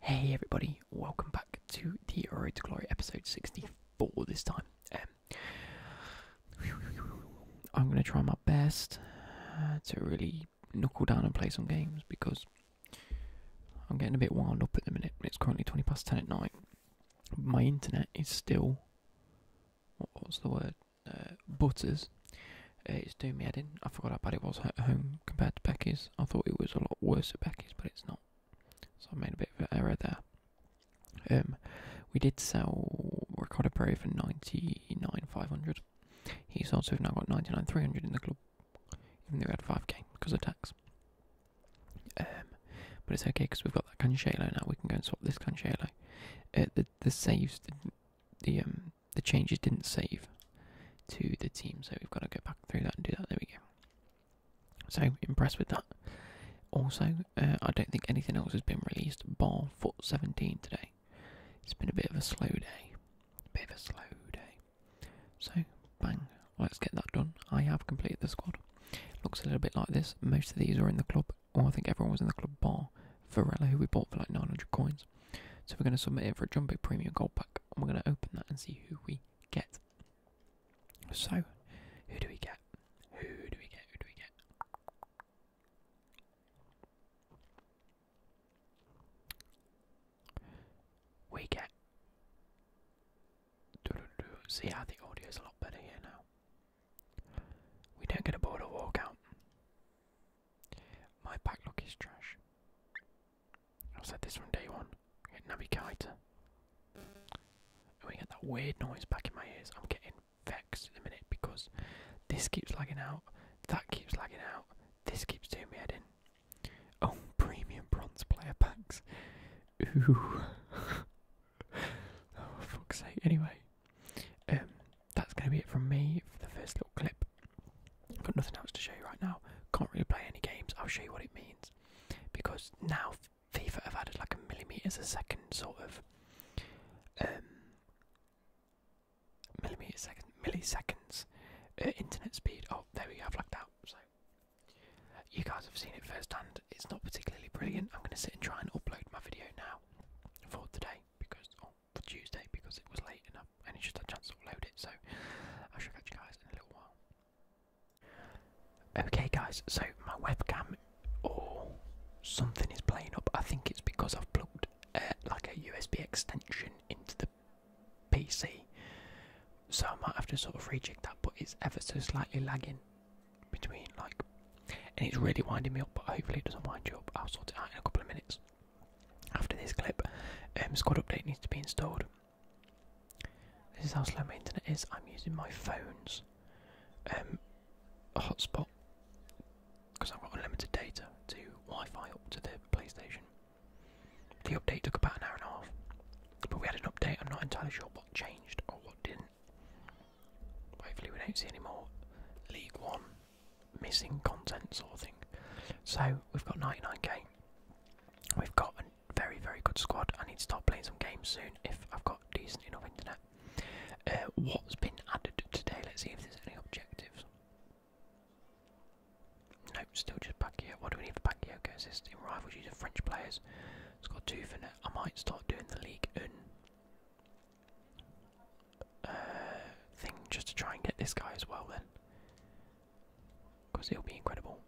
Hey everybody, welcome back to the Road to Glory episode 64 this time. Um, I'm going to try my best uh, to really knuckle down and play some games because I'm getting a bit wound up at the minute. It's currently 20 past 10 at night. My internet is still, what, what's the word, uh, butters. Uh, it's doing me head in. I forgot how bad it was at home compared to Becky's. I thought it was a lot worse at Becky's, but it's not. So I made a bit of an error there. Um, we did sell Ricardo Perry for ninety nine five hundred. He's also now got ninety nine three hundred in the club, even though we had five k because of tax. Um, but it's okay because we've got that Cancelo now. We can go and swap this Cancelo. Uh, the the saves the um, the changes didn't save, to the team. So we've got to go back through that and do that. There we go. So impressed with that. Also, uh, I don't think anything else has been released bar Foot 17 today. It's been a bit of a slow day. bit of a slow day. So, bang, let's get that done. I have completed the squad. Looks a little bit like this. Most of these are in the club, or I think everyone was in the club bar. Varela, who we bought for like 900 coins. So we're going to submit it for a jumbo premium gold pack we're going to open that and see who we get. So, who do we get? Who do we get? Who do we get? We get. See how the audio is a lot better here now. We don't get a border walkout. My backlog is trash. I said this from day one. Get Naby Keita. I'm going get that weird noise back in my ears. I'm getting vexed in a minute because this keeps lagging out, that keeps lagging out, this keeps doing me head in. Oh, premium bronze player packs. Ooh. oh, fuck's sake. Anyway, um, that's gonna be it from me for the first little clip. Got nothing else to show you right now. Can't really play any games. I'll show you what it means because now FIFA have added like a millimeters a second sort of um, millimeters second milliseconds uh, internet speed. Oh, there we go. have lucked out. So you guys have seen it firsthand. It's not particularly brilliant. I'm going to sit and try and upload my video now for today because or oh, for Tuesday because it was late enough and it's just a chance to upload it. So I'll show you guys in a little while. Okay, guys, so my webcam or oh, something is playing up. I think it's because I've plugged uh, like a USB extension into the PC, so I might have to sort of rejig that. But it's ever so slightly lagging between like, and it's really winding me up. But hopefully, it doesn't wind you up. I'll sort it out in a couple of minutes after this clip. Um, squad Update needs to be installed. This is how slow my internet is. I'm using my phone's um, hotspot because I've got unlimited data to Wi-Fi up to the PlayStation. The update took about an hour and a half, but we had an update. I'm not entirely sure what changed or what didn't. Hopefully, we don't see any more League One missing content sort of thing. So we've got 99k. We've got a very, very good squad. I need to start playing some games soon if I've got decent enough internet. Uh, what's been added today? Let's see if there's any objectives. No, still just Pacquiao. What do we need for Pacquiao? Okay, assist in rivals using French players. It's got two for net. I might start doing the league uh, thing just to try and get this guy as well then because it'll be incredible.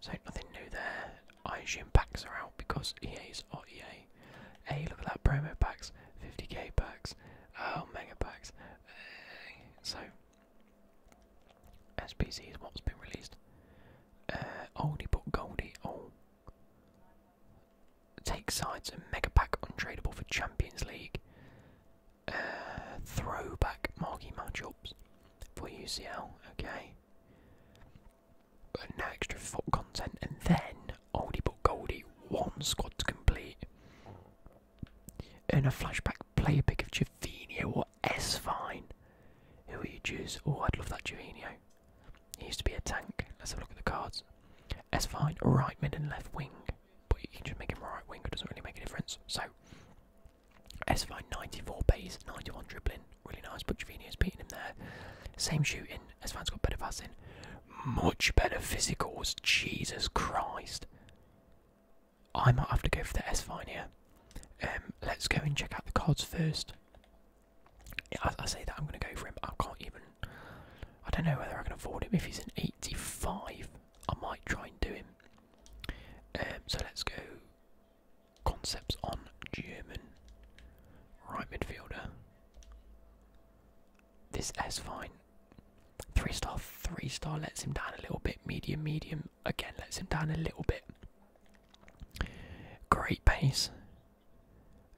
So nothing new there. I assume packs are out because EA's are EA. Hey, look at that promo packs, 50k packs, oh mega packs. so SPC is what's been released. Uh, but goldie. Oh, take sides and mega pack untradeable for Champions League uh, throwback marquee matchups for UCL, okay? And extra foot content, and then Oldie but Goldie, one squad to complete. In a flashback play a pick of Javinho or S Fine. Who will you choose? Oh, I'd love that Javinho. He used to be a tank. Let's have a look at the cards. S Fine, right mid and left wing. But you can just make him right wing, it doesn't really make a difference. So, S5 94 pace, 91 dribbling, really nice, but Jovino's beating him there. Same shooting, S5's got better passing, much better physicals, Jesus Christ. I might have to go for the S5 here. Um, let's go and check out the cards first. I, say that I'm going to go for him, I can't even. I don't know whether I can afford him. If he's an 85, I might try and do him. Um, so let's go concepts on German right midfielder. This S fine. Three star, three star lets him down a little bit. Medium, medium again lets him down a little bit. Great pace.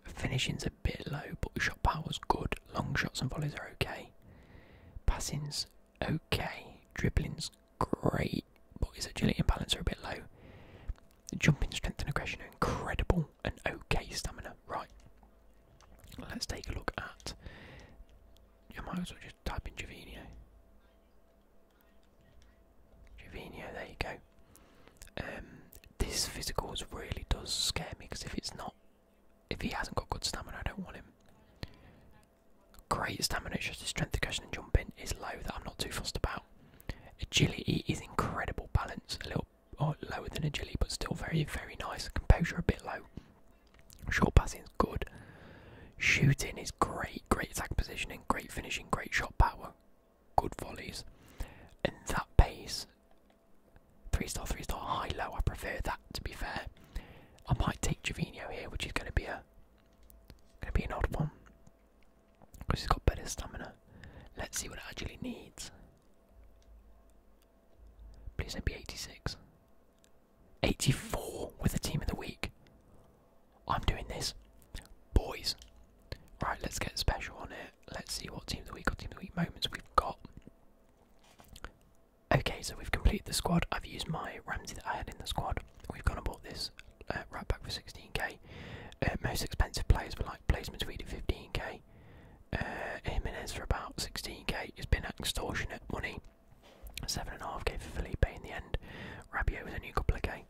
Finishing's a bit low, but shot power's good. Long shots and volleys are okay. Passing's okay. Dribbling's great, but his agility and balance are a bit low. Jumping strength and aggression are incredible, and okay stamina. Right, let's take a look at. I might as well just type in Jovino. Jovino, there you go. Um, this physicals really does scare me because if it's not, if he hasn't got good stamina, I don't want him. Great stamina, it's just his strength, cushion, and jumping is low that I'm not too fussed about. Agility is incredible balance, a little oh, lower than agility, but still very, very nice. Composure a bit low. Short passing is good. Shooting is great, great attack positioning, great finishing, great shot power, good volleys. And that pace, three star, three star, high low. I prefer that to be fair. I might take Jovino here, which is going to be a Gonna be an odd one. Because he's got better stamina. Let's see what it actually needs. Please don't be 86. 84 with the team of the week. I'm doing this. Boys. Right, let's get special on it. Let's see what team of the week or team of the week moments we've got. Okay, so we've completed the squad. I've used my Ramsey that I had in the squad. We've gone and bought this uh, right back for 16k. Uh, most expensive players were like placement tweet at 15k. Uh, for about 16k. It's been extortionate money. 7.5k for Philippe in the end. Rabiot was a new couple of k.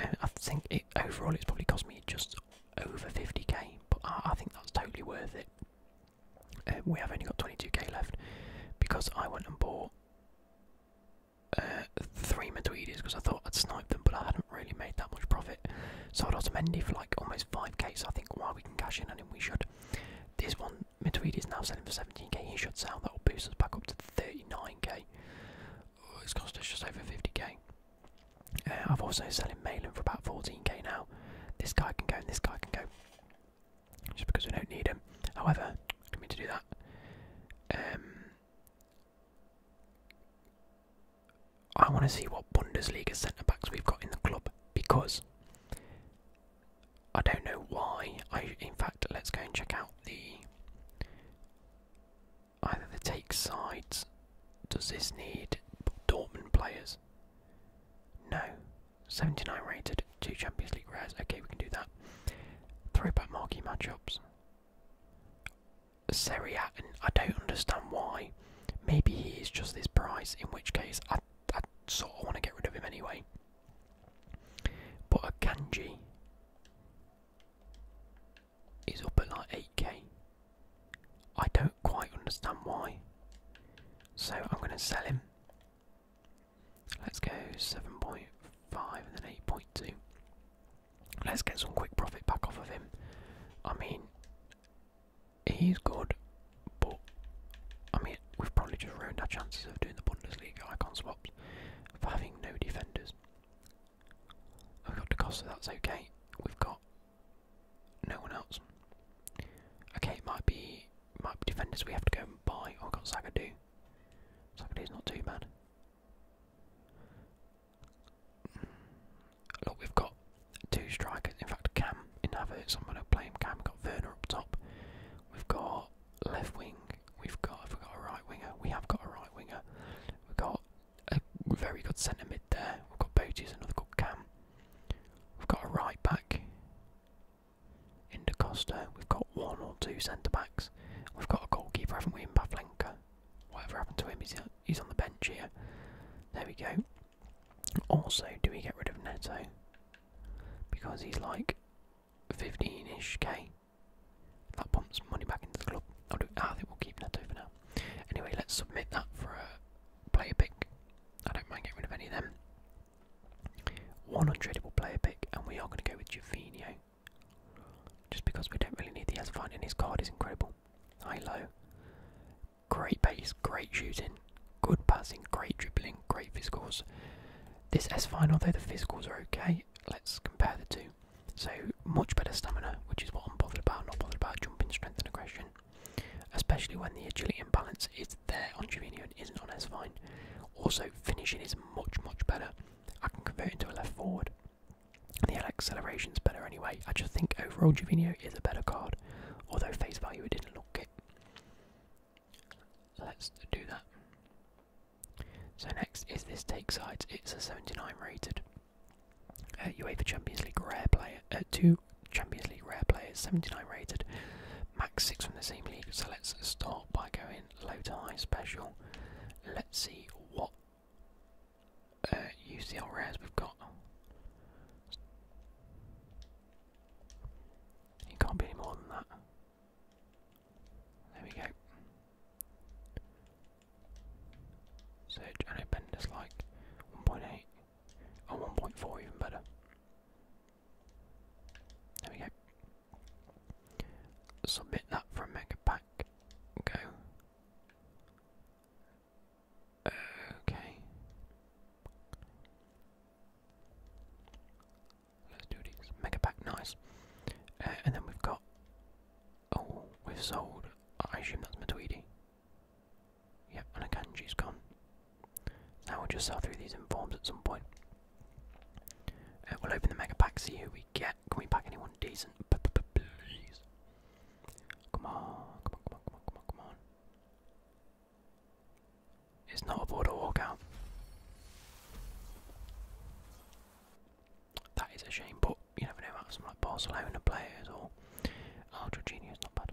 Uh, I think overall it's probably cost me just over 50k, but I, think that's totally worth it. we have only got 22k left because I went and bought uh, three Madridis because I thought I'd snipe them, but I hadn't really made that much profit. So I'd Sold Otamendi for like almost 5k, so I think while we can cash in on him, we should. This one, Madrid is now selling for 17k, he should sell, that will boost us back up to 39k. it's cost us just over 50 k. have uh, also selling Malin for about 14k now. This guy can go and this guy can go just because we don't need him. However, I mean to do that. Um, I want to see what Bundesliga centre backs we've got in the club because I don't know why. I in fact, let's go and check out the either the take sides. Does this need Dortmund players? No. 79 rated, 2 Champions League rares. Okay, we can do that. Three Throwback marquee matchups. Serie A, and I don't understand why. Maybe he is just this price, in which case I, I sort of want to get rid of him anyway. But a Kanji is up at like 8k. I don't quite understand why. So I'm going to sell him. Let's go 7.5 and then 8.2. Let's get some quick profit back off of him. I mean, he's good, but I mean, we've probably just ruined our chances of doing the Bundesliga icon swaps for having no defenders. I've got the cost, so that's okay. We've got no one else. Okay, might be might be defenders we have to go and buy. Oh, I've got Sagadou. Socrates not too bad. Look, we've got two strikers. In fact, Cam in I'm going to play him. Cam we've got Werner up top. We've got left wing. We've got. Have we a right winger? We have got a right winger. We've got a very good centre mid there. We've got Boaties, another good Cam. We've got a right back. In De Costa, we've got one or two centre backs. We've got a goalkeeper, haven't we, in Pavlenka? Whatever happened to him, he's, he's on the bench here. There we go. Also, do we get rid of Neto? Because he's like 15 ish K. That pumps money back into the club. i think we'll keep Neto for now. Anyway, let's submit that for a player pick. I don't mind getting rid of any of them. One untradeable player pick, and we are going to go with Jovino. Just because we don't really need the S fine, and his card is incredible. High low. Great base, great shooting, good passing, great dribbling, great physicals. This S fine, although the physicals are okay, let's compare the two. So much better stamina, which is what I'm bothered about, not bothered about jumping strength and aggression. Especially when the agility imbalance is there on Jovino and isn't on S fine. Also, finishing is much, much better. I can convert into a left forward. The acceleration is better anyway. I just think overall Jovino is a better card, although face value it didn't look it. Let's do that. So next is this take side. It's a 79 rated. Uh, UEFA Champions League rare player. Uh, two Champions League rare players, 79 rated. Max six from the same league. So let's start by going low to high special. Let's see what uh, UCL rares we've got. It can't be any more than that. There we go. So I Bender's like 1.8 or 1.4 even better. There we go. Submit that for a mega pack. Go. Okay. Let's do these. Mega pack, nice. Uh, and then we've got. Oh, we've sold. I assume that's Matweedy. Yep, and a Kanji's gone. Now we'll just sell through these informs at some point. Uh, we'll open the mega pack, see who we get. Can we pack anyone decent? Please. Come on, come on, come on, come on, come on, come on. It's not a border walkout. That is a shame, but you never know about some like Barcelona players or oh, Jorginho's not bad.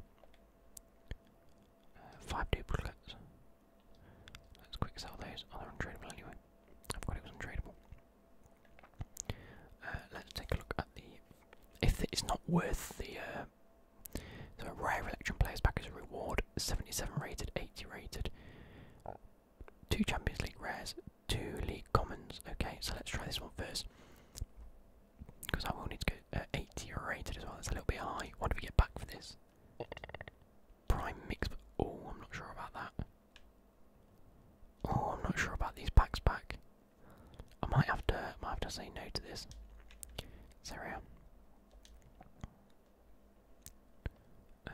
Uh, five duplicates. Let's quick sell those. Oh, they anyway. I forgot it was untradeable. Uh, let's take a look at the. If it's not worth the. so uh, rare electron players back as a reward. 77 rated, 80 rated. Two Champions League rares, two League Commons. Okay, so let's try this one first. Because I will need to go uh, 80 rated as well. That's a little bit high. What do we get back for this? Prime mix. Oh, I'm not sure about that. Oh, I'm not sure about these packs back. I might have to. I might have to say no to this. Seria. Um,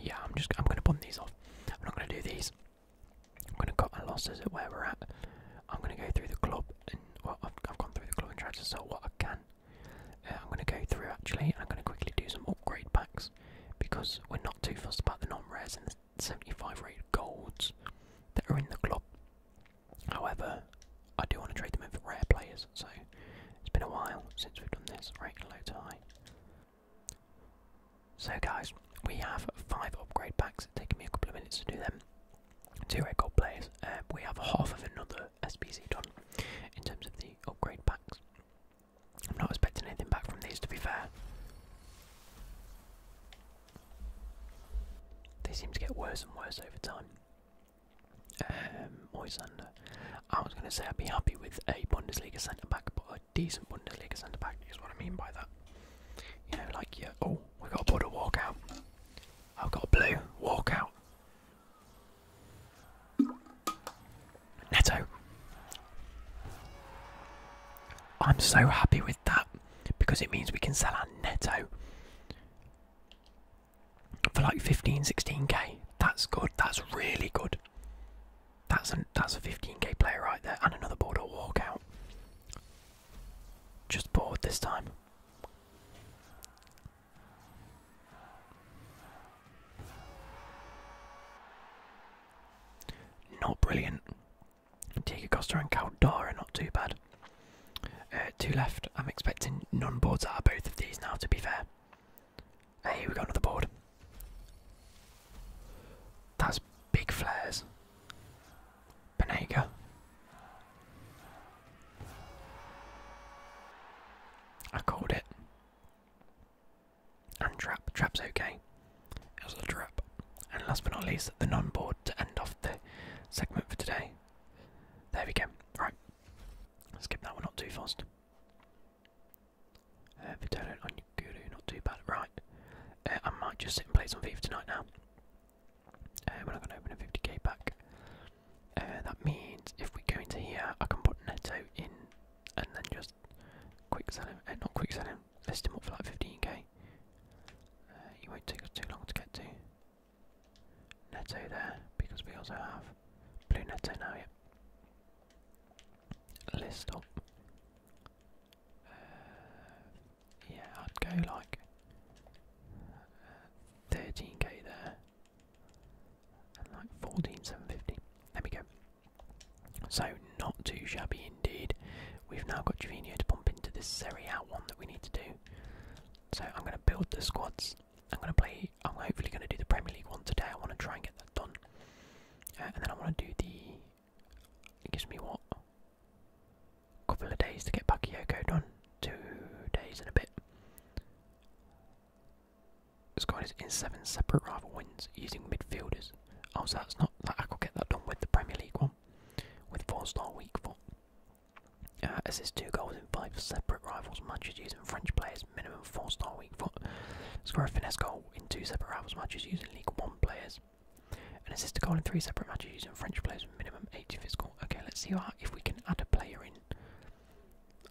yeah, I'm just. I'm gonna bum these off. I'm not gonna do these. I'm gonna cut my losses at where we're at. I'm gonna go through the club well, I've, gone through the club and tried to sell what I can. Uh, I'm going to go through actually, and I'm going to quickly do some upgrade packs because we're not too fussed about the non-rares and the 75 rated golds that are in the club. However, I do want to trade them in for rare players, so it's been a while since we've done this. Right, low to So guys, we have five upgrade packs. It's taken me a couple of minutes to do them two echo players. Um, we have half of another SPC done in terms of the upgrade packs. I'm not expecting anything back from these to be fair. They seem to get worse and worse over time. Um, Moisander. I was going to say I'd be happy with a Bundesliga centre back, but a decent Bundesliga centre back is what I mean by that. You know, like, yeah, oh, we got a board to walk out. I've got a blue. Walk out. Neto. I'm so happy with that because it means we can sell our Neto for like 15, 16k. That's good. That's really good. That's a, that's a 15k player right there and another board border walkout. Just bored this time. Not brilliant. Diego Costa and Caldara are not too bad. Uh, two left. I'm expecting non boards are both of these now, to be fair. Hey, here we got another board. That's big flares. Benega. I called it. And trap. Trap's okay. It was a trap. And last but not least, the non board to end off the segment for today. There we go. Right. Let's Skip that one, not too fast. Uh, Vitello on Guru, not too bad. Right. Uh, I might just sit and play some FIFA tonight now. Uh, we're not going to open a 50k pack. Uh, that means if we go into here, I can put Neto in and then just quick sell him. Uh, not quick sell him, list him up for like 15k. You uh, won't take us too long to get to. Neto there, because we also have blue Neto now, Yeah. List up. Uh, yeah, I'd go like uh, 13k there. And like 14,750. There we go. So, not too shabby indeed. We've now got Trevino to pump into this Serie A one that we need to do. So, I'm going to build the squads. I'm going to play, I'm hopefully going to do the Premier League one today. I want to try and get that done. Uh, and then I want to do the. It gives me what? couple of days to get Yoko done. Two days in a bit. Scored in seven separate rival wins using midfielders. Oh, so that's not like I could get that done with the Premier League one, with four-star weak four. Uh, assists two goals in five separate rivals matches using French players, minimum four-star weak foot. Score a finesse goal in two separate rivals matches using League One players. and assist a goal in three separate matches using French players, is minimum 80 physical. Okay, let's see if we can add a player in.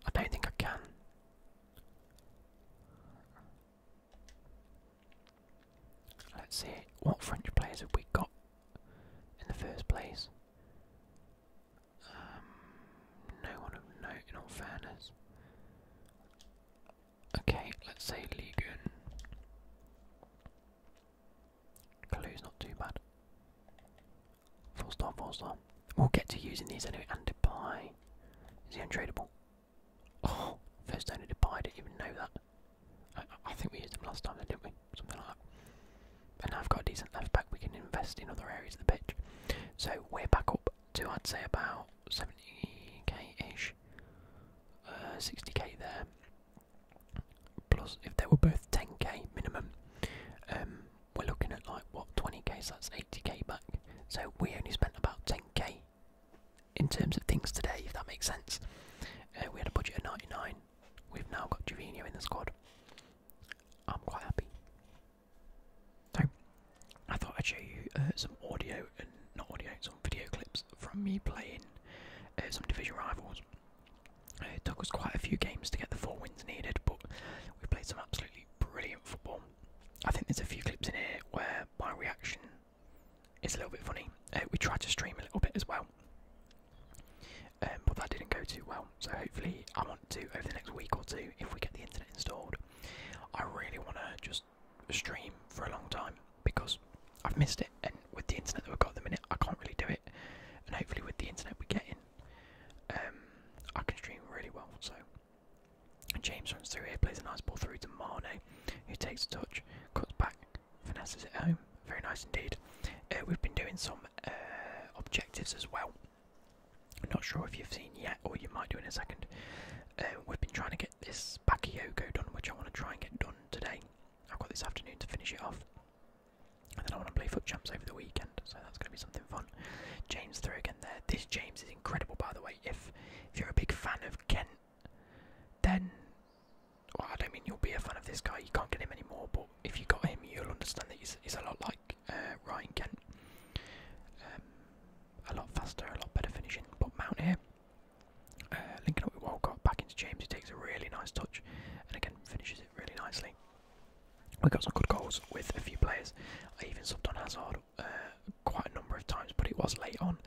I don't think I can. Let's see what French players have we got in the first place. Um, no one of note, in all fairness. Okay, let's say Ligun. Clue's not too bad. Four star, four star. We'll get to using these anyway. And Depay. Is he untradeable? Oh, first owner Depay, I didn't even know that. I, think we used them last time, didn't we? Something like that. And now I've got a decent left back, we can invest in other areas of the pitch. So we're back up to, I'd say, about 70k ish. 60k there. Plus, if they were both 10k minimum, um, we're looking at like what 20k, so that's 80k back. So we only spent about 10k in terms of things today, if that makes sense. Uh, we had a budget of 99. We've now got Jovino in the squad. I'm quite happy. So, I thought I'd show you uh, some audio and not audio, some video clips from me playing uh, some division rivals. It took us quite a few games to get the four wins needed, but we played some absolutely brilliant football. I think there's a few clips in here where my reaction is a little bit funny. Uh, we tried to stream a little bit as well, um, but that didn't go too well. So hopefully, I want to over the next week or two, if we get the internet installed, I really want to just stream for a long time because I've missed it, and with the internet that we've got at the minute, I can't really do it. And hopefully, with the internet we're getting, um, I can stream really well. So James runs through here, plays a nice ball through to Mane, who takes a touch, cuts back, finesses at home. Very nice indeed. Uh, we've been doing some uh, objectives as well. not sure if you've seen yet, or you might do in a second. Uh, we've been trying to get this Bakayoko done, which I want to try and get done today. I've got this afternoon to finish it off. And then I want to play Foot jumps over the weekend, so that's going to be something fun. James through again there. This James is incredible, by the way. If if you're a big fan of Kent, then I don't mean you'll be a fan of this guy. You can't get him anymore, but if you got him, you'll understand that he's, he's a lot like uh, Ryan Kent. Um, a lot faster, a lot better finishing. But Mount here, uh, linking up with Walcott back into James, He takes a really nice touch, and again finishes it really nicely. We got some good goals with a few players. I even subbed on Hazard uh, quite a number of times, but it was late on,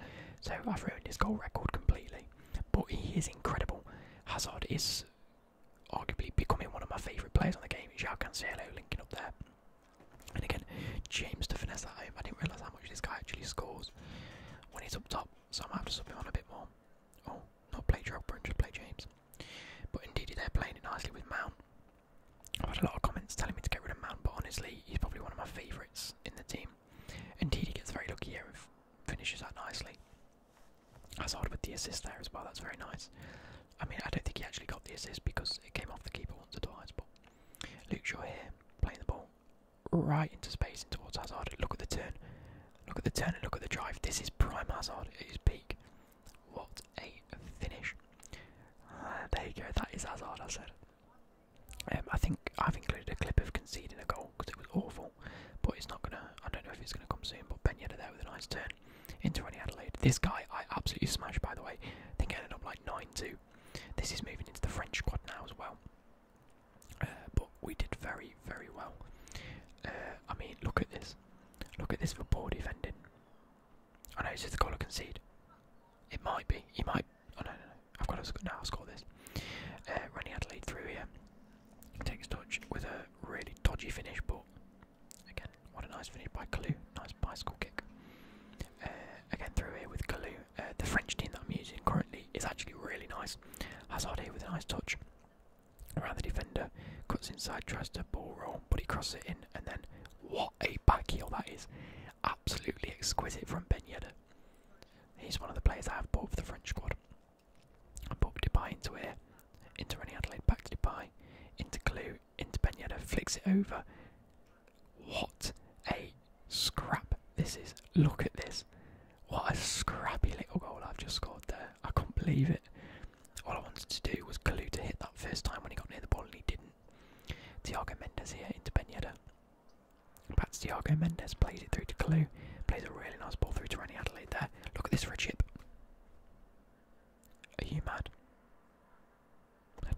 so I've ruined his goal record completely. But he is incredible. Hazard is arguably becoming one of my favourite players on the game. Joao Cancelo linking up there. And again, James to finesse that home. I didn't realise how much this guy actually scores when he's up top, so I might have to sub him on a bit more. Oh, not play Drogba just play James. But indeed, they're playing it nicely with Mount. I've had a lot of comments telling me to get rid of Mount, but honestly, he's probably one of my favourites in the team. Indeed, he gets very lucky here and finishes that nicely. Hazard with the assist there as well, that's very nice. I mean, I don't think he actually got the assist because it came off the keeper once or twice, but Luke Shaw here, playing the ball right into space and towards Hazard. Look at the turn. Look at the turn and look at the drive. This is prime Hazard at his peak. What a finish! Ah, there you go. That is Hazard. I said. Um, I think I've included a clip of conceding a goal because it was awful, but it's not gonna. I don't know if it's gonna come soon. But Ben Yedder there with a nice turn into Rennie Adelaide. This guy I absolutely smashed. By the way, I think I ended up like nine two. This is moving into the French squad now as well. Uh, but we did very, very well. Uh, I mean, look at this. Look at this for poor defending. I know it's just a goal to concede. It might be. He might. Oh no, no, no. I've got to score. score this. Uh, Rennie had lead through here. Takes touch with a really dodgy finish, but again, what a nice finish by Kalu. Nice bicycle kick. Uh, again, through here with Kalu. Uh, the French team that I'm using currently is actually really nice. Hazard here with a nice touch around the defender, cuts inside, tries to ball roll, but he crosses it in, and then what a back heel that is! Absolutely exquisite from Ben He's one of the players I have bought for the French squad. I bought Depay into here, into Rennie Adelaide, back to Depay, into Clue, into Ben flicks it over. What a scrap this is! Look at this. What a scrappy little goal I've just scored there. I can't believe it. All I wanted to do was Kalu to hit that first time when he got near the ball and he didn't. Thiago Mendes here into Benyeda. Yedder. Back Mendes, plays it through to Kalu, plays a really nice ball through to Rennie Adelaide there. Look at this for a chip. Are you mad?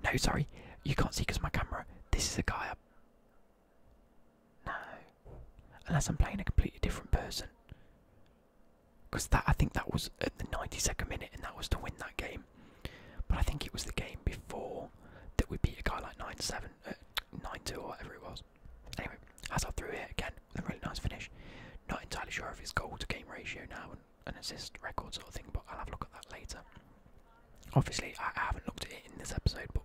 No, sorry, you can't see because my camera. This is a guy. No, unless I'm playing a completely different person because that I think that was at the 92nd minute, and that was to win that game. But I think it was the game before that we beat a guy like 9-7, 9-2 uh, or whatever it was. Anyway, Hazard threw it again with a really nice finish. Not entirely sure of his goal to game ratio now and an assist record sort of thing, but I'll have a look at that later. Obviously, I haven't looked at it in this episode, but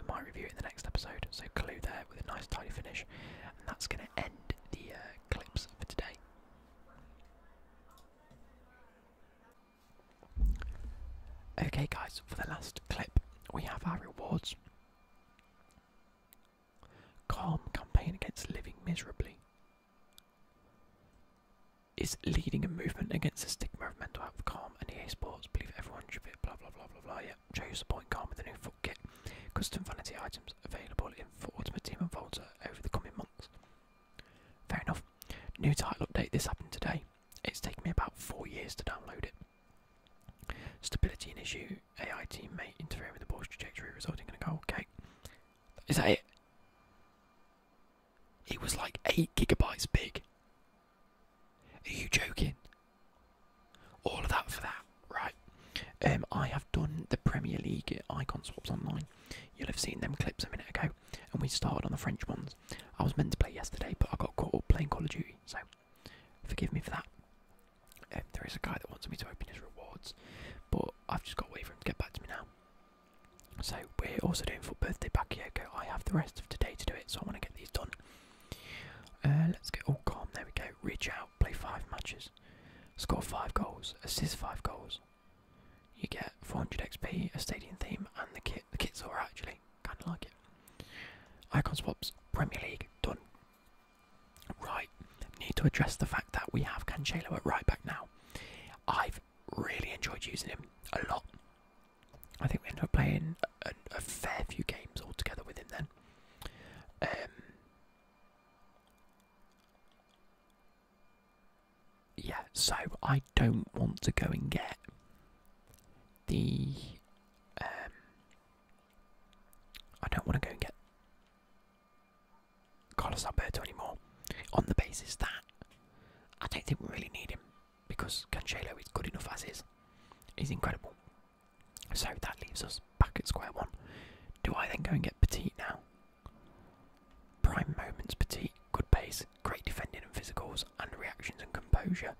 we might review it in the next episode. So, clue there with a nice tidy finish, and that's going to end the uh, clips for today. Okay, guys, for the last clip, we have our rewards. Calm campaign against living miserably is leading a movement against the stigma of mental health. Calm and EA Sports believe everyone should be blah blah blah blah blah. Yeah, chose the point guard with a new foot kit. Custom vanity items available in for Ultimate Team and Volta over the coming months. Fair enough. New title update, this happened today. It's taken me about four years to download it. Stability issue, AI may interfere with the ball's trajectory, resulting in a goal. Okay. Is that it? It was like 8 gigabytes big. Are you joking? All of that for that, right? Um, I have done the Premier League icon swaps online. You'll have seen them clips a minute ago, and we started on the French ones. I was meant to play yesterday, but I got caught playing Call of Duty, so forgive me for that. Um, there is a guy that wants me to open his rewards, but I've just got to wait for him to get back to me now. So we're also doing for birthday back Bakayoko. I have the rest of today to do it, so I want to get these done. Uh, let's get all oh, calm. There we go. Reach out, play five matches score 5 goals, assist 5 goals. You get 400 XP, a stadium theme, and the kit. The kit's alright actually, kind of like it. Icon swaps, Premier League, done. Right, need to address the fact that we have Cancelo at right back now. I've really enjoyed using him a lot. I think we ended up playing a, fair few games altogether with him then. Um, yeah, so I don't want to go and get the. Um, I don't want to go and get Carlos Alberto anymore on the basis that I don't think we really need him because Cancelo is good enough as is. He's incredible. So that leaves us back at square one. Do I then go and get Petite now? Prime moments, Petite, good pace, great defending and physicals, and reactions and composure.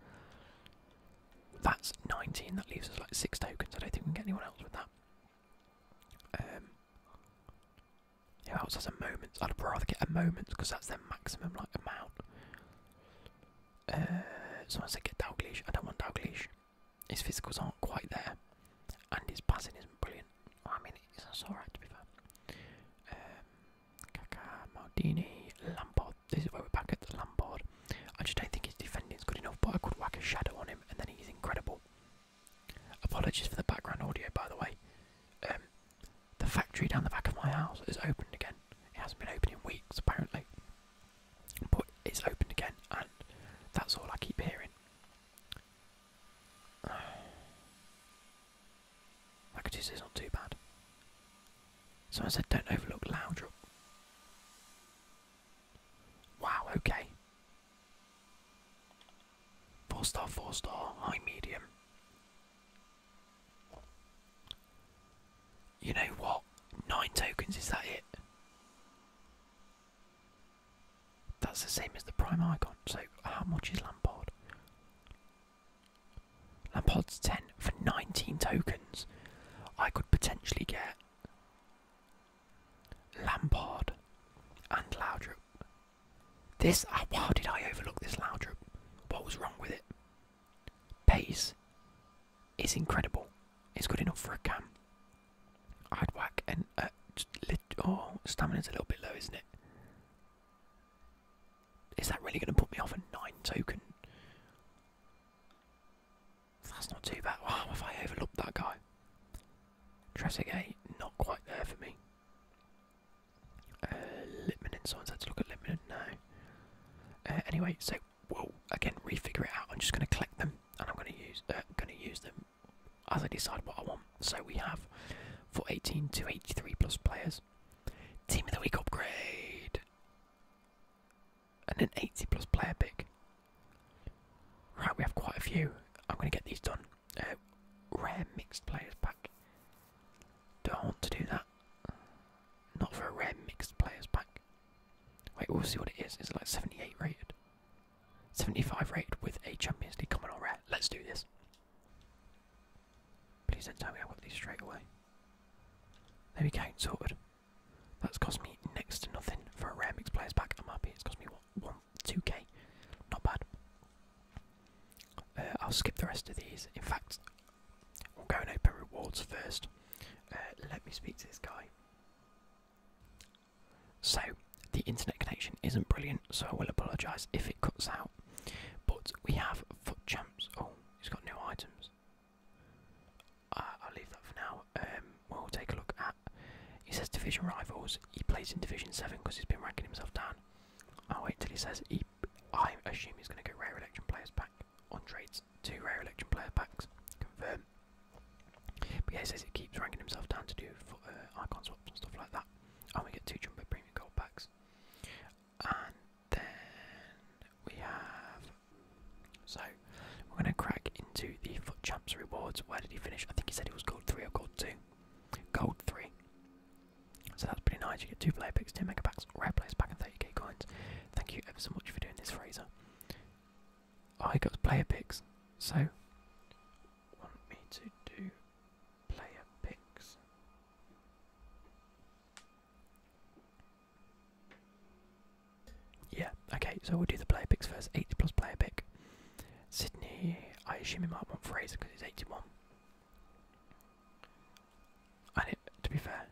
That's 19, that leaves us like 6 tokens. I don't think we can get anyone else with that. who else has a moments? I'd rather get a moments because that's their maximum like amount. Uh, someone said get Dalglish. I don't want Dalglish. His physicals aren't quite there, and his passing isn't brilliant. I mean, it's alright to be fair. Um, Maldini, Lampard. This is where we're back at the Lampard. I just don't think his defending is good enough, but I could whack a shadow on him, and then he's incredible. Apologies for the background audio, by the way. Um, the factory down the back of my house is opened again. It hasn't been open in weeks, apparently. But it's opened again, and that's all I keep hearing. I could Packages is not too bad. Someone said, don't overlook Loudrup. Wow, okay. Four star, four star, high medium. You know what? Nine tokens, is that it? That's the same as the prime icon. So how much is Lampard? Lampard's 10 for 19 tokens. I could potentially get Lampard and Laudrup. This, how did I overlook this Laudrup? What was wrong with it? Pace, it's incredible. It's good enough for a cam. I'd whack and oh, stamina's a little bit low, isn't it? Is that really going to put me off a nine token? That's not too bad. Wow, if I overlooked that guy. Trezeguet, not quite there for me. Uh, Litmanen, someone's had to look at Litmanen now. Uh, anyway, so will again refigure it out. I'm just going to collect them, and I'm going to use uh, going to use them as I decide what I want. So we have for 18 to 83 plus players, team of the week upgrade, and an 80 plus player pick. Right, we have quite a few. I'm going to get these done. Uh, rare mixed players pack. Do not want to do that? Not for a rare mixed players pack. Wait, we'll see what it is. Is it like 78 rated? 75 rate with a Champions League common or rare. Let's do this. Please don't tell me I got these straight away. There we go, sorted. That's cost me next to nothing for a rare mix players pack. I'm happy. It's cost me what, one, two k. Not bad. Uh, I'll skip the rest of these. In fact, we'll go and open rewards first. Uh, let me speak to this guy. So, the internet connection isn't brilliant, so I will apologise if it cuts out. But we have Foot chaps. Oh, it's got new items. I'll leave that for now. Um, we'll take a look at. He says Division Rivals. He plays in Division 7 because he's been ranking himself down. I'll wait till he says he. I assume he's going to get Rare Election Players back on trades. Two Rare Election Player Packs. Confirm. But yeah, it says he keeps ranking himself down to do uh, icon swaps and stuff like that. And we get two jumbo premium gold packs. And then we have. So we're going to crack into the Foot Champs rewards. Where did he finish? I think he said he was gold 3 or gold 2. Gold 3. So that's pretty nice. You get two player picks, 10 mega packs, rare players pack, and 30k coins. Thank you ever so much for doing this, Fraser. I got player picks, so want me to do player picks. Yeah, okay, so we'll do the player picks first. 80 plus player pick. Sydney, I assume he might want Fraser because he's 81. And to be fair,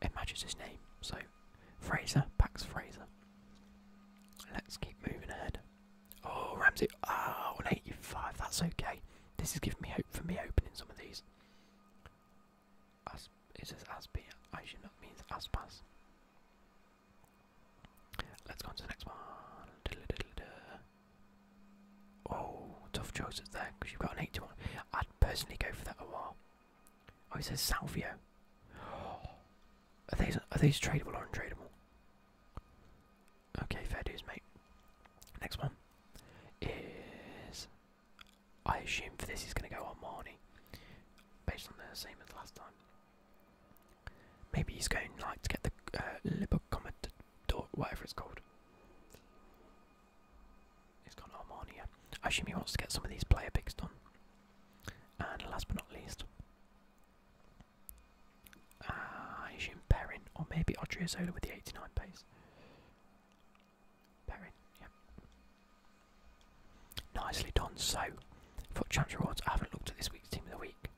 it matches his name. So Fraser, Pax Fraser. Let's keep moving ahead. Oh, Ramsey. Oh, eighty-five. That's okay. This is giving me hope for me opening some of these. As, it says as I should not means as Let's go on to the next one. oh, tough choices there because you've got an 81. I'd personally go for that a while. Oh, he says Salvia. Are these are these tradable or untradable? Okay, fair dues, mate. Next one is I assume for this he's going to go on Marnie, based on the same as last time. Maybe he's going like to get the uh, Lipocomet or whatever it's called. He's gone Armani. Yeah. I assume he wants to get some of these player picks done. And last but not least, uh, I assume Perrin, or maybe Odriozola with the 89 pace. Perrin, yeah. Nicely done. So, for chance Rewards, I haven't looked at this week's Team of the Week.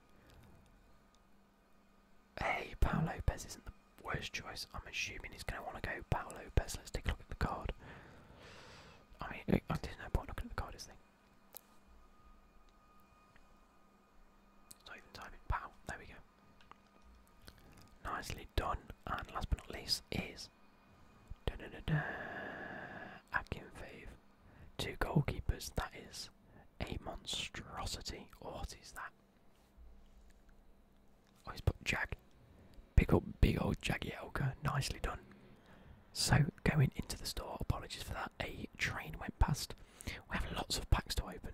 Hey, Paolo Lopez isn't the worst choice. I'm assuming he's going to want to go Paolo Lopez. Let's take a look at the card. I didn't no point looking at the card, this thing. Not even timing. Pow! There we go. Nicely done. And last but not least is da da da da. Akin Two goalkeepers. That is a monstrosity. Oh, what is that? Oh, he's put Jack. Pick up big old Jagielka. Nicely done. So, going into the store, apologies for that, a train went past. We have lots of packs to open.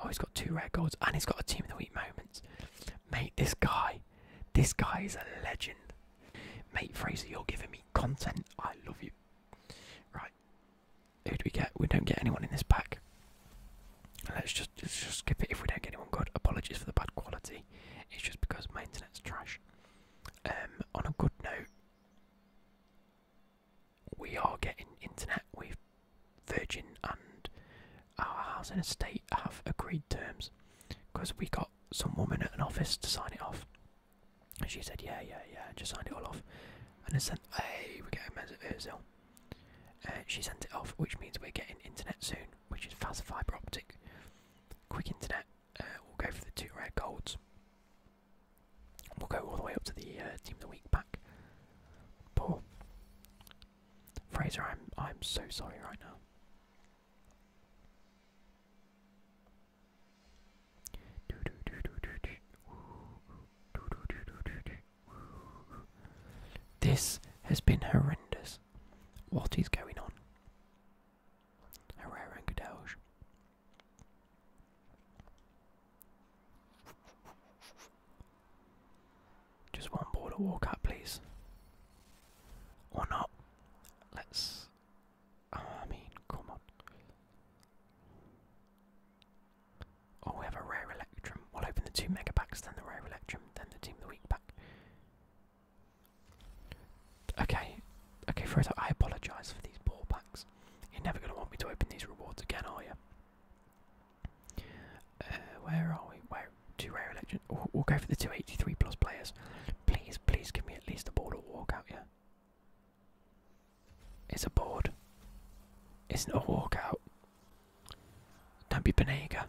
Oh, he's got two rare golds and he's got a team of the week moments. Mate, this guy, this guy is a legend. Mate, Fraser, you're giving me content. I love you. Right, who do we get? We don't get anyone in this pack. Let's just, just skip it if we don't get anyone good. Apologies for the bad quality. It's just because maintenance. That's trash. Um, on a good note, we are getting internet. We've Virgin and our house and estate have agreed terms because we got some woman at an office to sign it off. she said, yeah, yeah, yeah, just sign it all off. And I sent, hey, we're getting Mesut uh, she sent it off, which means we're getting internet soon which is fast fibre optic, quick internet. Uh, we'll go for the two rare golds. We'll go all the way up to the uh, team of the week pack. Paul Fraser, I'm I'm so sorry right now. This has been horrendous. What is going on? Herrera and Cadelge. Just one ball to walk up, please. Or not. Let's. I mean, come on. Oh, we have a rare electrum. We'll open the two mega packs, then the rare electrum, then the team of the week pack. Okay, okay, Frodo, I apologise for these ball packs. You're never going to want me to open these rewards again, are you? Uh, where are we? Where two rare elections? We'll, we'll go for the 283 plus players. Please, please give me at least a ball to walk out, yeah? It's a board. It's not a walkout. Don't be Benega.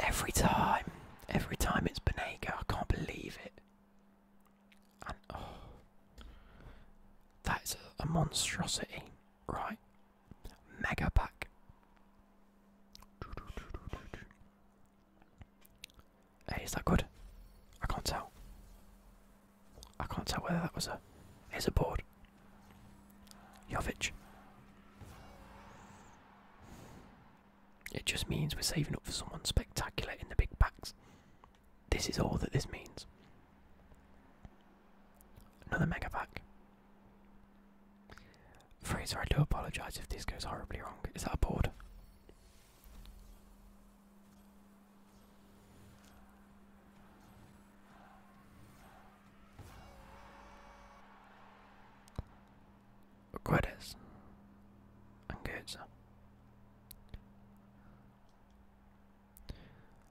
Every time. Every time it's Benega. I can't believe it. Oh, That's a, monstrosity. Right. Mega pack. Hey, is that good? I can't tell. I can't tell whether that was a... is a board. Jovic. It just means we're saving up for someone spectacular in the big packs. This is all that this means. Another mega pack. Fraser, I do apologise if this goes horribly wrong. Is that a board? Guedes and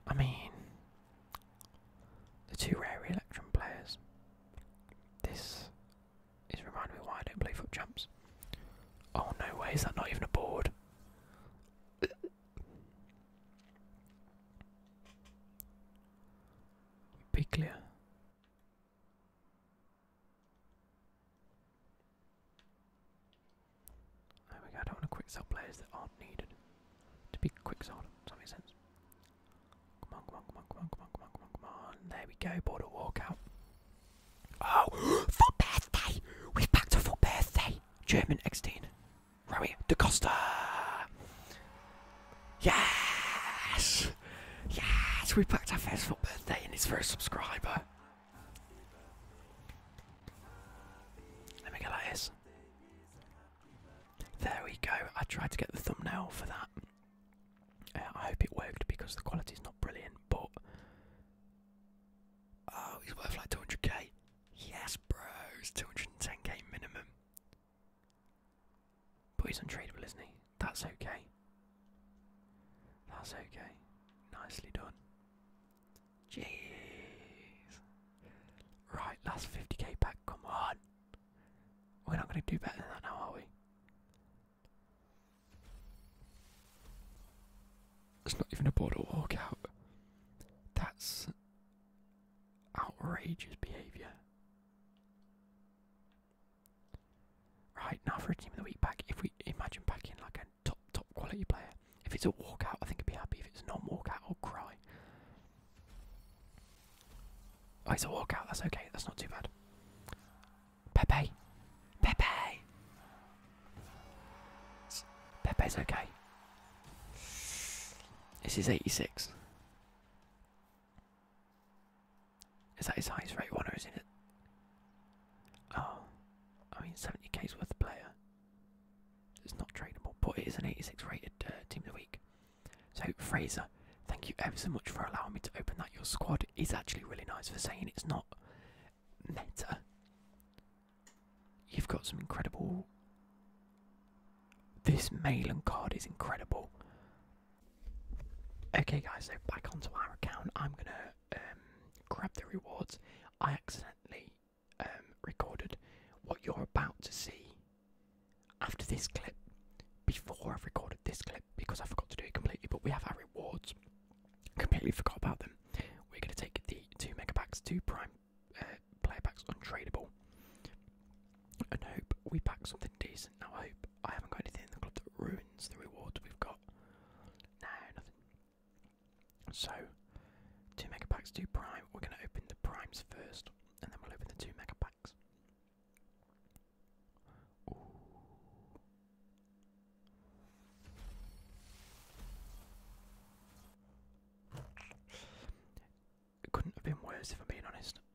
I mean, the two rare electron players. This is reminding me why I don't play foot jumps. Oh no way, is that not even a board? Piglia. There we go, don't want to quick sell players that aren't needed. To be quick sold, does that make sense? Come on, come on, come on, come on, come on, come on, come on, come on. There we go, border walkout. Oh, foot birthday! We're back to foot birthday! German X-Teen. Rami Yes! Yes! We packed our first full birthday and it's first subscriber. Let me go like this. There we go. I tried to get the thumbnail for that. I hope it worked because the quality is not brilliant, but. Oh, he's worth like 200k. Yes, bros. 210k minimum. But he's untradeable, isn't he? That's okay. That's okay. Nicely done. Jeez. Right, last 50k pack, come on. We're not going to do better than that now, are we? It's not even a border walkout. That's outrageous behaviour. Right now for a team of the week pack, if we imagine packing like a top top quality player, if it's a walkout, I think I'd be happy. If it's not walkout, I'll cry. Oh, it's a walkout. That's okay. That's not too bad. Pepe, Pepe, Pepe's okay. This is eighty six. Is that his highest rate one or is it? Oh, I mean, 70k's worth of player. It's not tradable, but it is an 86 rated uh, team of the week. So, Fraser, thank you ever so much for allowing me to open that. Your squad is actually really nice for saying it's not meta. You've got some incredible. This Malin card is incredible. Okay, guys, so back onto our account. I'm gonna um, grab the rewards. I accidentally um, recorded what you're about to see after this clip before I've recorded this clip because I forgot to do it completely. But we have our rewards. Completely forgot about them. We're gonna take the two mega packs, two prime uh, player packs, untradeable and hope we pack something decent. Now, I hope I haven't got anything in the club that ruins the reward we've got. No, nothing. So, two mega packs, two primes. We're going to open the primes first, and then we'll open the two mega packs. It couldn't have been worse if I'm being honest.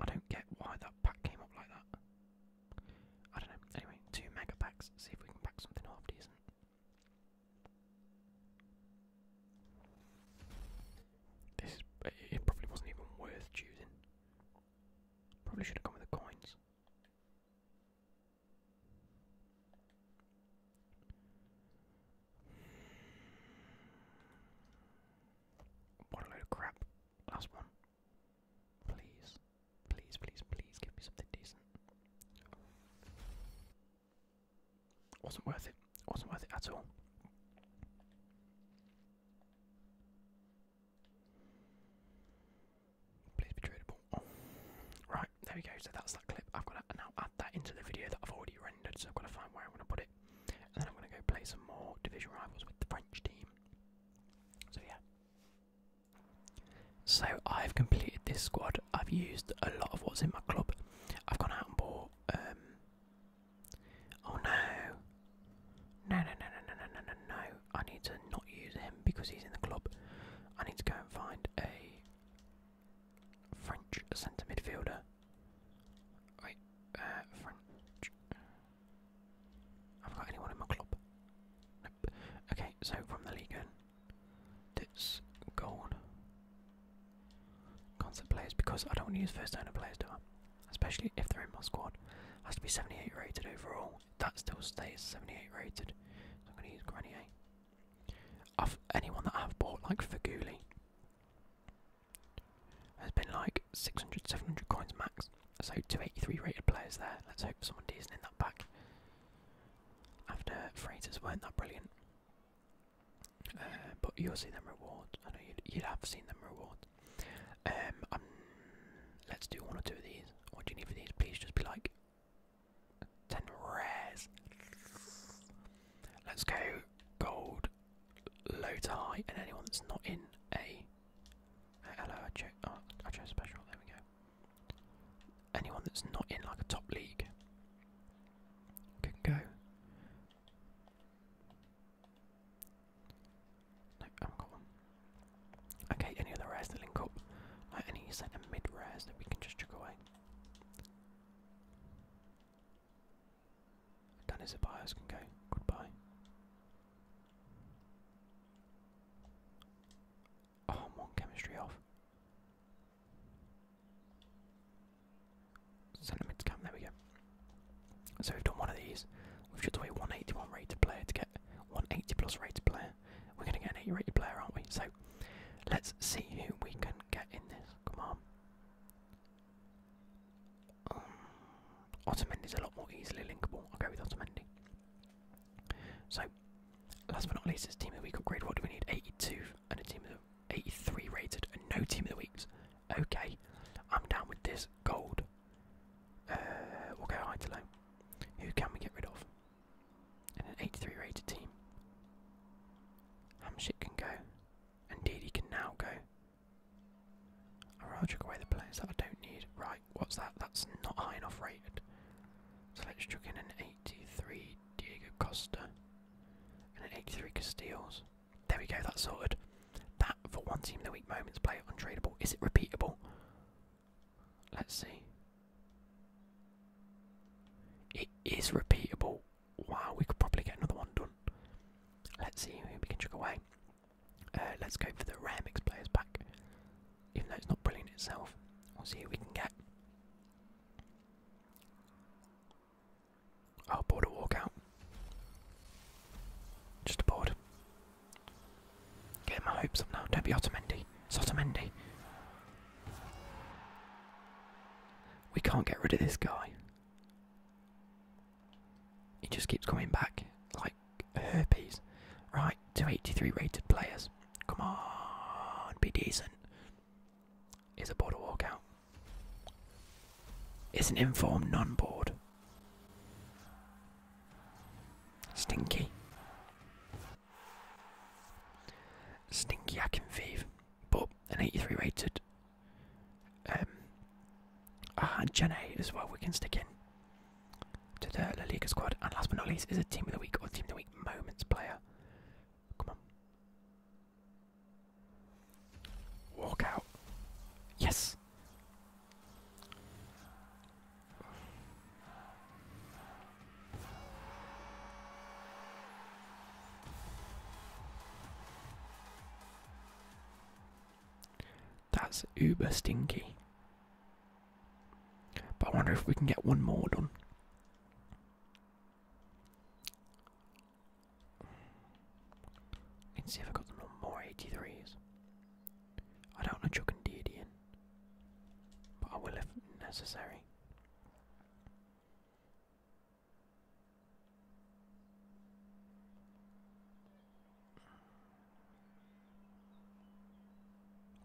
I don't get why that pack came up like that. I don't know. Anyway, two mega packs. See if we can pack something half decent. This It probably wasn't even worth choosing. Probably should have gone with the coins. What a load of crap. Last one. Please. Please, please, please give me something decent. Wasn't worth it. Wasn't worth it at all. Please be tradable. Right, there we go. So that's that clip. I've got to now add that into the video that I've already rendered. So I've got to find where I'm to put it. And then I'm going to go play some more Division Rivals with the French team. So yeah. So I've completed this squad. I've used a lot of what's in my club. I've gone out and bought. Um, oh no! No no no no no no no no! I need to not use him because he's in the club. I need to go and find a French centre midfielder. Wait, uh, French. Have I got anyone in my club? Nope. Okay, so from the Legion, that's gold. Concept players, because I don't want to use first owner players, do I? Especially if they're in my squad. Has to be 78 rated overall. That still stays 78 rated. So I'm going to use Grenier. I've, anyone that I've bought, like Faguli, has been like like 600, 700 coins max. So 283 rated players there. Let's hope someone decent in that pack. After freighters weren't that brilliant. Uh, but you'll see them reward. I know you'd, you'd have seen them reward. Um, um, let's do one or two of these. What do you need for these? Please just be like 10 rares. Let's go gold, low to high, and anyone that's not in a Hello, oh, special. There we go. Anyone that's not in like a top league can go. No, I have got one. Okay, any other rares that link up? Like any set of mid rares that we can just chuck away. Danny Zabios can go. Goodbye. Oh, chemistry off. Sentiments camp, there we go. So we've done one of these. We've just away 181 rated player to get 180 plus rated player. We're going to get an 80 rated player, aren't we? So let's see who we can get in this. Come on. Um, is a lot more easily linkable. I'll go with Otamendi. So, last but not least, is Team of the Week upgrade. What do we need? 82 and a Team of 83 rated and no Team of the Weeks. Okay, I'm down with this gold. Uh, we'll go high to low. Who can we get rid of? an 83 rated team. Hamshik can go. And Didi can now go. I'll chuck away the players that I don't need. Right, what's that? That's not high enough rated. So let's chuck in an 83 Diego Costa and an 83 Castiles. There we go, that's sorted. That, for one team, the weak moments play untradeable. Is it repeatable? Let's see. It is repeatable. Wow, we could probably get another one done. Let's see who we can chuck away. Uh, let's go for the rare mixed players back, Even though it's not brilliant itself, we'll see who we can get. Oh, border walkout. Just a board. Get my hopes up now. Don't be Otamendi. It's Otamendi. We can't get rid of this guy. It just keeps coming back like herpes. Right, 283 rated players. Come on, be decent. Is a border walkout. It's an informed non board. Stinky. Stinky Akin Thief. But an 83 rated. Um, Ah, and Gen A as well, we can stick in to the La Liga squad. And last but not least is a Team of the Week or Team of the Week Moments player. Come on. Walk out. Yes. That's uber stinky. But I wonder if we can get one more done. I can see if I got them more 83s. I don't want to chuck and deity but I will if necessary.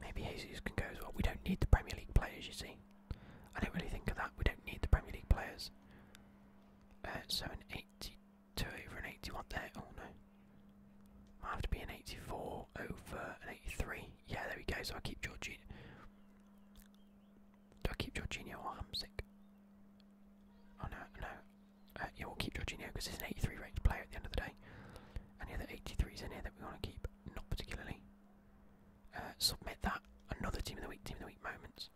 Maybe Jesus can go as well. We don't need the Premier League players, you see. I don't really think of that. We don't need the Premier League players. Uh, so an 82 over an 81 there. Oh no. I have to be an 84 over an 83. Yeah, there we go. So I keep Jorginho. Do I keep Jorginho or Hamsik? Oh no, no. Uh, we'll keep judging here because he's an 83 rated player at the end of the day. Any other 83s in here that we want to keep? Not particularly. Uh, submit that. Another team of the week, team of the week moments.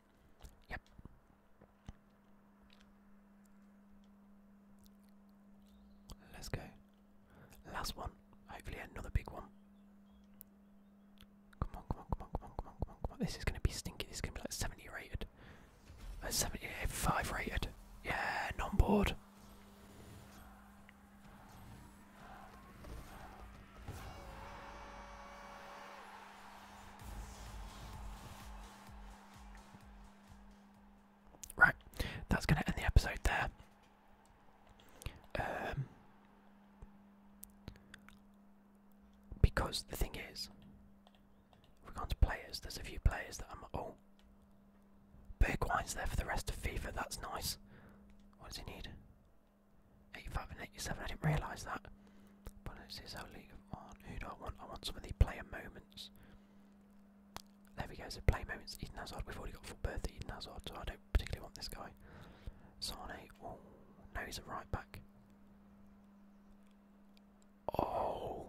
Yep. Let's go. Last one. Hopefully another big one. Come on, come on, come on, come on, come on, come on, come on. This is going to be stinky. This is going to be like 70 rated. A 75 rated. Yeah, non board. Right, that's going to end the episode there. Um, because the thing is, we go on to players, there's a few players that I'm. Oh! Big wine's there for the rest of FIFA, that's nice. What does he need? 85 and 87, I didn't realise that. But it's his whole league of one. Who do I want? I want some of the player moments. There we go, so player moments. Eden Hazard, we've already got full berth at Eden Hazard, so I don't particularly want this guy. Sane, oh, no, he's a right back. Oh.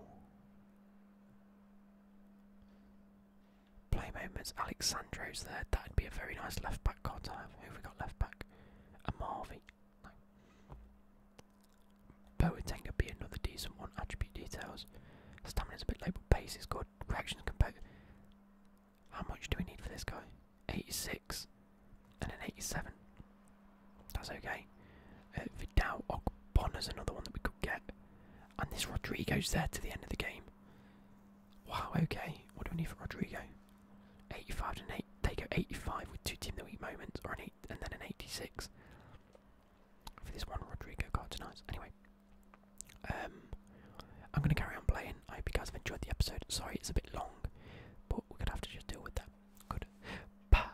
Play moments. Alexandro's there. That'd be a very nice left back card to have. Who have we got left back? A Marvy. No. Boateng be another decent one. Attribute details. Stamina's a bit low, but pace is good. Reactions compared. How much do we need for this guy? 86 and an 87. That's okay. Uh, Vidal is another one that we could get. And this Rodrigo's there to the end of the game. Wow, okay. What do we need for Rodrigo? 85 to 8. They go 85 with two team the week moments, or an eight, and then an 86 for this one Rodrigo card tonight. Anyway, um, I'm going to carry on playing. I hope you guys have enjoyed the episode. Sorry, it's a bit long, but we're going to have to just deal with that. Good. Bye.